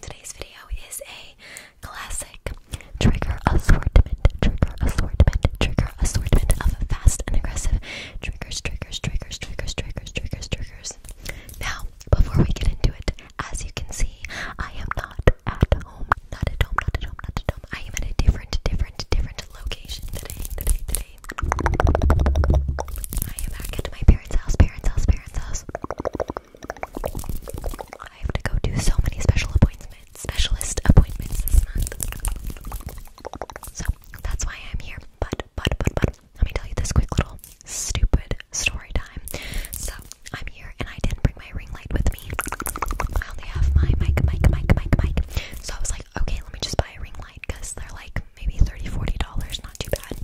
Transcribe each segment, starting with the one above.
Today's video is a classic trigger assortment, trigger assortment, trigger assortment of fast and aggressive triggers, triggers, triggers, triggers, triggers, triggers, triggers. Now, before we get into it, as you can see, I am not at home, not at home, not at home, not at home. I am at a different, different, different location today, today, today. I am back at my parents' house, parents' house, parents' house. I have to go do so many special appointments, specialist appointments this month. So that's why I'm here. But, but, but, but, let me tell you this quick little stupid story time. So I'm here and I didn't bring my ring light with me. I only have my mic, mic, mic, mic, mic. So I was like, okay, let me just buy a ring light because they're like maybe $30, $40, not too bad.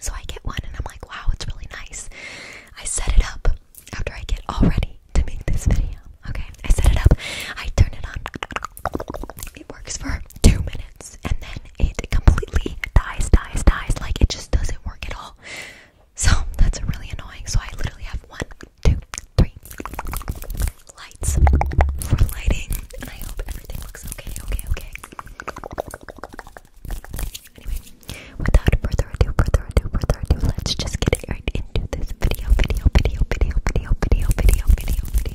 So I get one and I'm like, wow, it's really nice. I set it up after I get all ready to make this video. Okay, I set it up, I turn it on, it works for two minutes, and then it completely dies, dies, dies. Like it just doesn't work at all. So that's really annoying. So I literally have one two, three lights for lighting, and I hope everything looks okay, okay, okay. Anyway, without further ado, further ado, further ado, let's just get right into this video, video, video, video, video, video, video, video, video.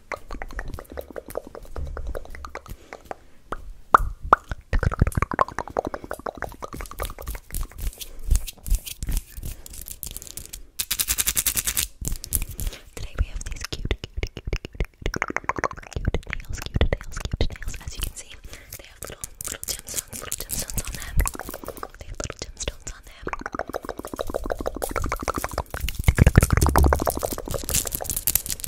Today we have these cute, cute, cute, cute, cute nails, cute nails, cute nails. As you can see, they have little, little gemstones, little gemstones on them. They have little gemstones on them.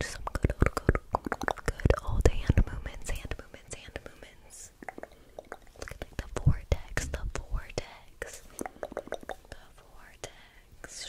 Some good, good, good, good old hand movements, hand movements, hand movements. Look at like the vortex, the vortex, the vortex.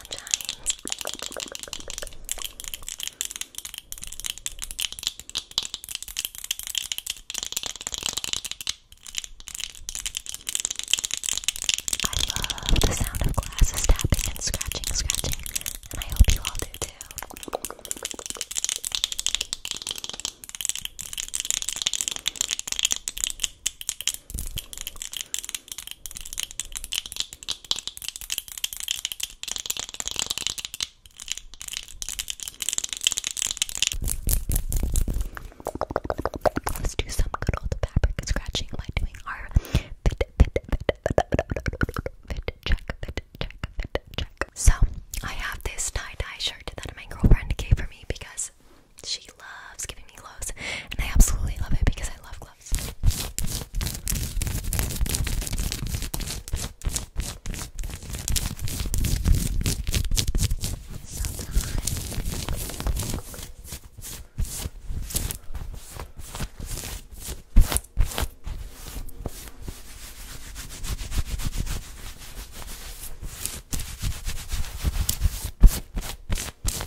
sometimes. I love the sound of glasses tapping and scratching, scratching, and I hope you all do too. Let's do some good old fabric scratching by doing our So I have this tie dye shirt that my girlfriend gave for me because she loves giving me gloves, and I absolutely love it because I love gloves. Sometimes.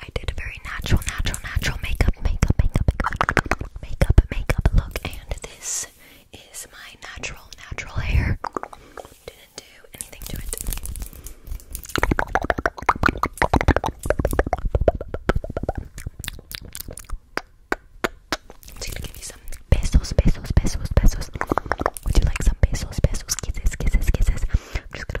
I did a very natural, natural, natural makeup, makeup, makeup, makeup, makeup, makeup look, and this is my natural, natural hair. Didn't do anything to it. She's gonna give you some pesos, pesos, pesos, pesos. Would you like some pesos, pesos, kisses, kisses, kisses? I'm just gonna.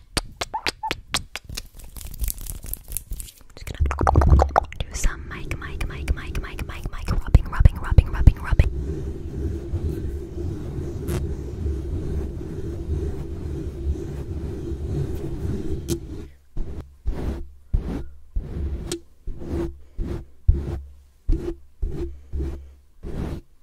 gonna do some mic, mic, mic, mic, mic, mic, mic, rubbing, rubbing, rubbing, rubbing, rubbing.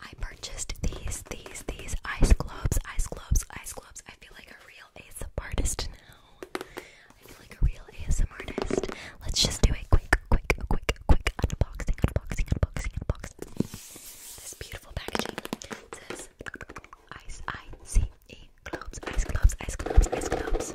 I purchased these, these, these ice globes, ice globes, ice globes. I feel like a real ASMR artist now. I feel like a real ASMR artist. Let's just do it quick, quick, quick, quick. Unboxing, unboxing, unboxing, unboxing. This beautiful packaging. It says ice, I C E globes, ice globes, ice globes, ice globes.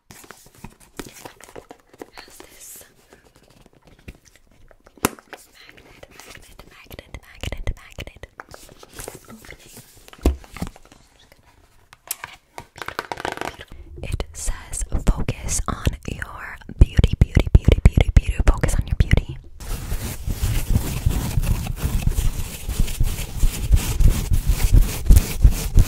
It says focus on your beauty, beauty, beauty, beauty, beauty, focus on your beauty.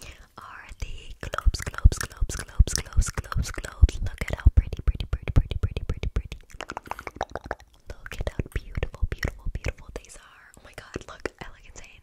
here are the globes, globes, globes, globes, globes, globes, globes. Look at how pretty, pretty, pretty, pretty, pretty, pretty, pretty. Look at how beautiful, beautiful, beautiful these are. Oh my god, look, I look insane.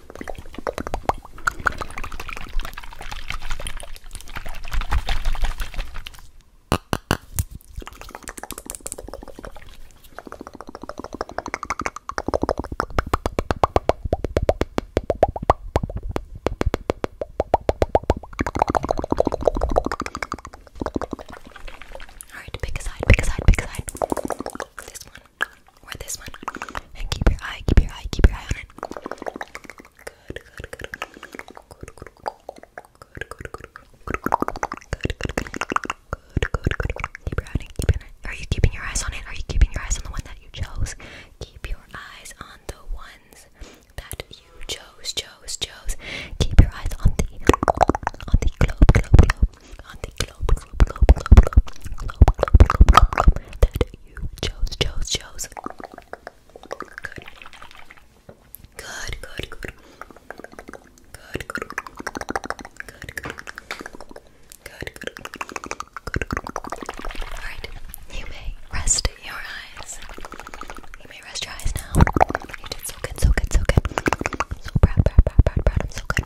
Alright, pick a side, pick a side, pick a side. This one or this one, and keep your eye, keep your eye, keep your eye on it. Good, good, good, good, good, good, good, good, good, good, good, good, good. Keep your eye on Keep your eye. Are you keeping your eyes on it? Are you keeping your eyes on the one that you chose? Keep your eyes on the ones that you chose, chose, chose. Keep your eyes on the on the globe, globe on the globe, globe, globe, globe, globe, globe, globe, globe, globe that you chose, chose, chose. Good. Good, good, good. Good, good. Good, good. Good, good. Good, good. Alright, you may rest your eyes. You may rest your eyes now. You did so good, so good, so good. So proud, proud, proud, proud, proud. I'm so good.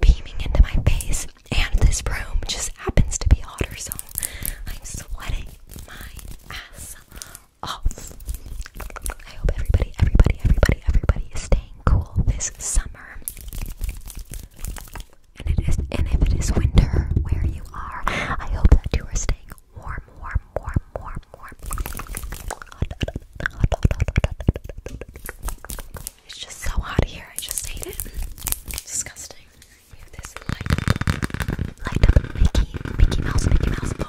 beaming into my face, and this room just happens to be hotter, so I'm sweating my ass off. I hope everybody, everybody, everybody, everybody is staying cool this summer. And if it is winter where you are, I hope that you are staying warm, warm, warm, warm, warm. It's just so hot here. I just hate it. disgusting. We have this light, light up Mickey, Mickey Mouse, Mickey Mouse ball.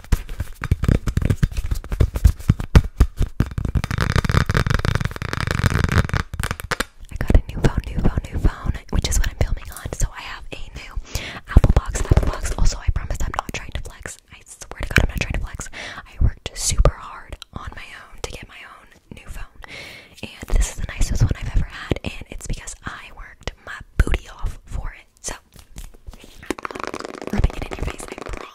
I got a new phone, new phone, new phone, which is what I'm filming on. So I have a new Apple Box, Apple Box. Also, I promise I'm not trying to flex. I swear to God, I'm not trying to flex. I worked super hard on my own to get my own new phone, and this is the nicest one I've ever had. And it's because I worked my booty off for it it. So, I'm not rubbing it in your face, I promise.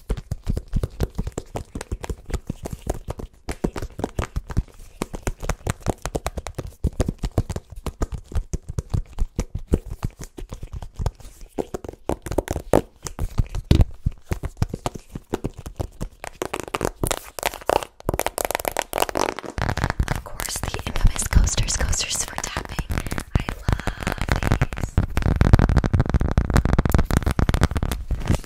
Of course, the infamous coasters, coasters for tapping. I love these.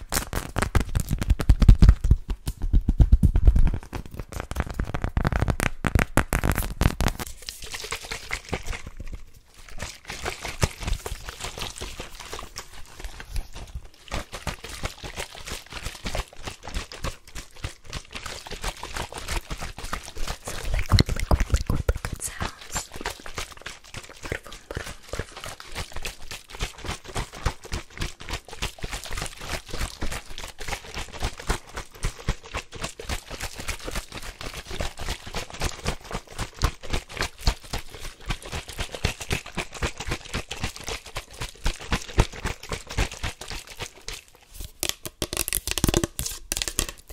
Some liquid, liquid, liquid, liquid sounds.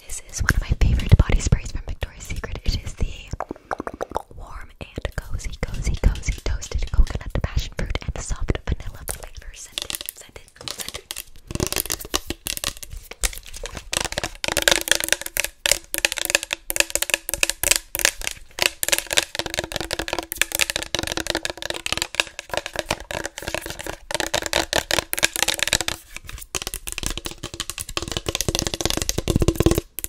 This is one of my favorite body sprays from Victoria's Secret. It is the Warm and cozy, cozy, cozy, toasted coconut, passion fruit, and soft vanilla flavor. Send it, send it.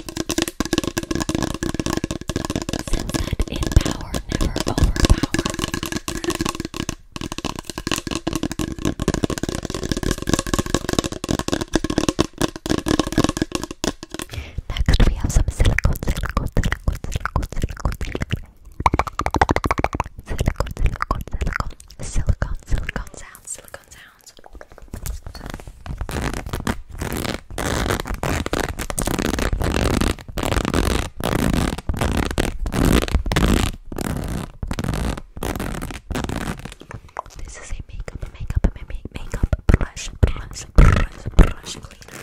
Since that in power never overpower. Next we have some silicone, silicone, silicone, silicone, silicone, silicone. Silicone, silicone, silicone, silicone, silicone sound, silicone sound sounds. This is a makeup, makeup, makeup, makeup brush, brush, brush, brush cleaner.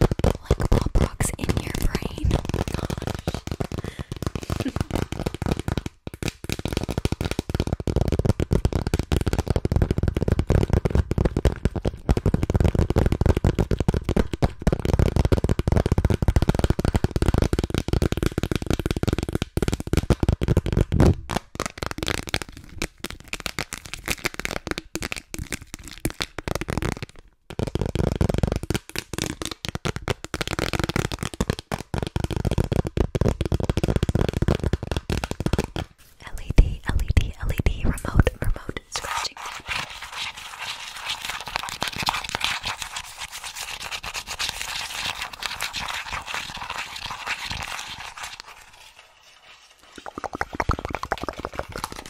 like pop rocks in your brain. Oh gosh. LED, LED, LED, remote, remote scratching tape.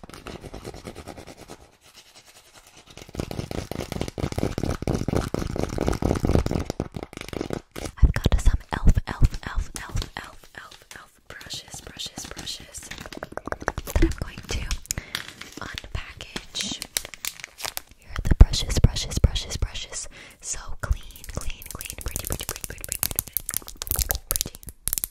I've got some elf, elf, elf, elf, elf, elf, elf brushes, brushes, brushes that I'm going to unpackage. Here are the brushes, brushes, brushes, brushes. So clean, clean, clean, pretty, pretty, pretty, pretty, pretty, pretty. pretty.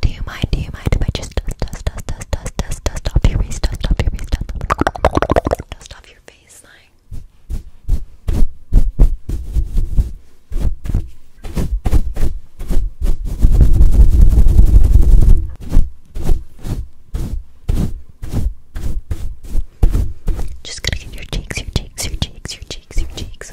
Do you mind? Do you mind if I just dust, dust, dust, dust, dust, dust, dust off your face, dust off your face, dust just gonna get your cheeks, your cheeks, your cheeks, your cheeks, your cheeks.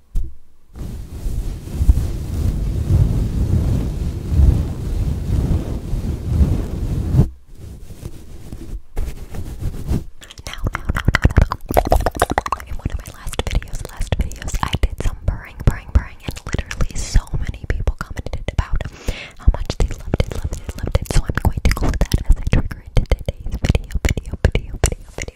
Now, in one of my last videos, last videos, I did some purring, purring, purring, and literally so many people commented about how much they loved it, loved it, loved it. So I'm going to call that as a trigger into today's video, video, video, video, video.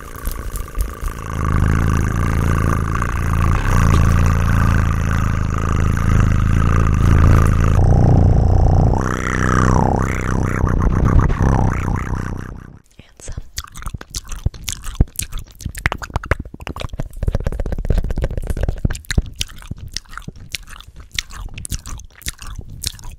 Handsome.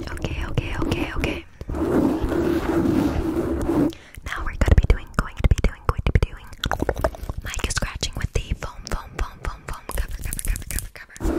Okay, okay, okay, okay. Now we're gonna be doing going to be doing doing, going to be doing mica scratching with the foam, foam, foam, foam, foam cover, cover, cover, cover, cover.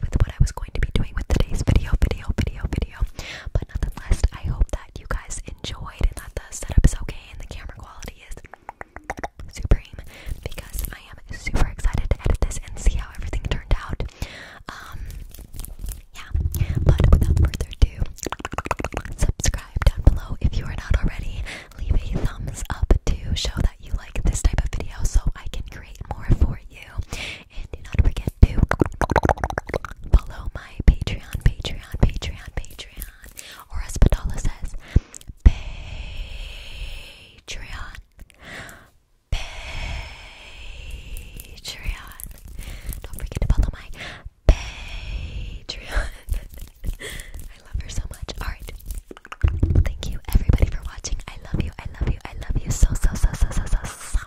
with what I was going to be doing with today's video, video, video, video. But nonetheless, I hope that you guys enjoyed and that the setup is okay and the camera quality is supreme because I am super excited to edit this and see how everything turned out. Um, yeah, but without further ado, subscribe down below if you are not already. Leave a thumbs up to show that you like this type of video so I can create more for you. And do not forget to follow my Patreon, Patreon, Patreon, Patreon. Or as Padala says, Patreon. Patreon. Don't forget to follow my Patreon. I love her so much. Alright. Thank you everybody for watching. I love you. I love you. I love you so so so so so so so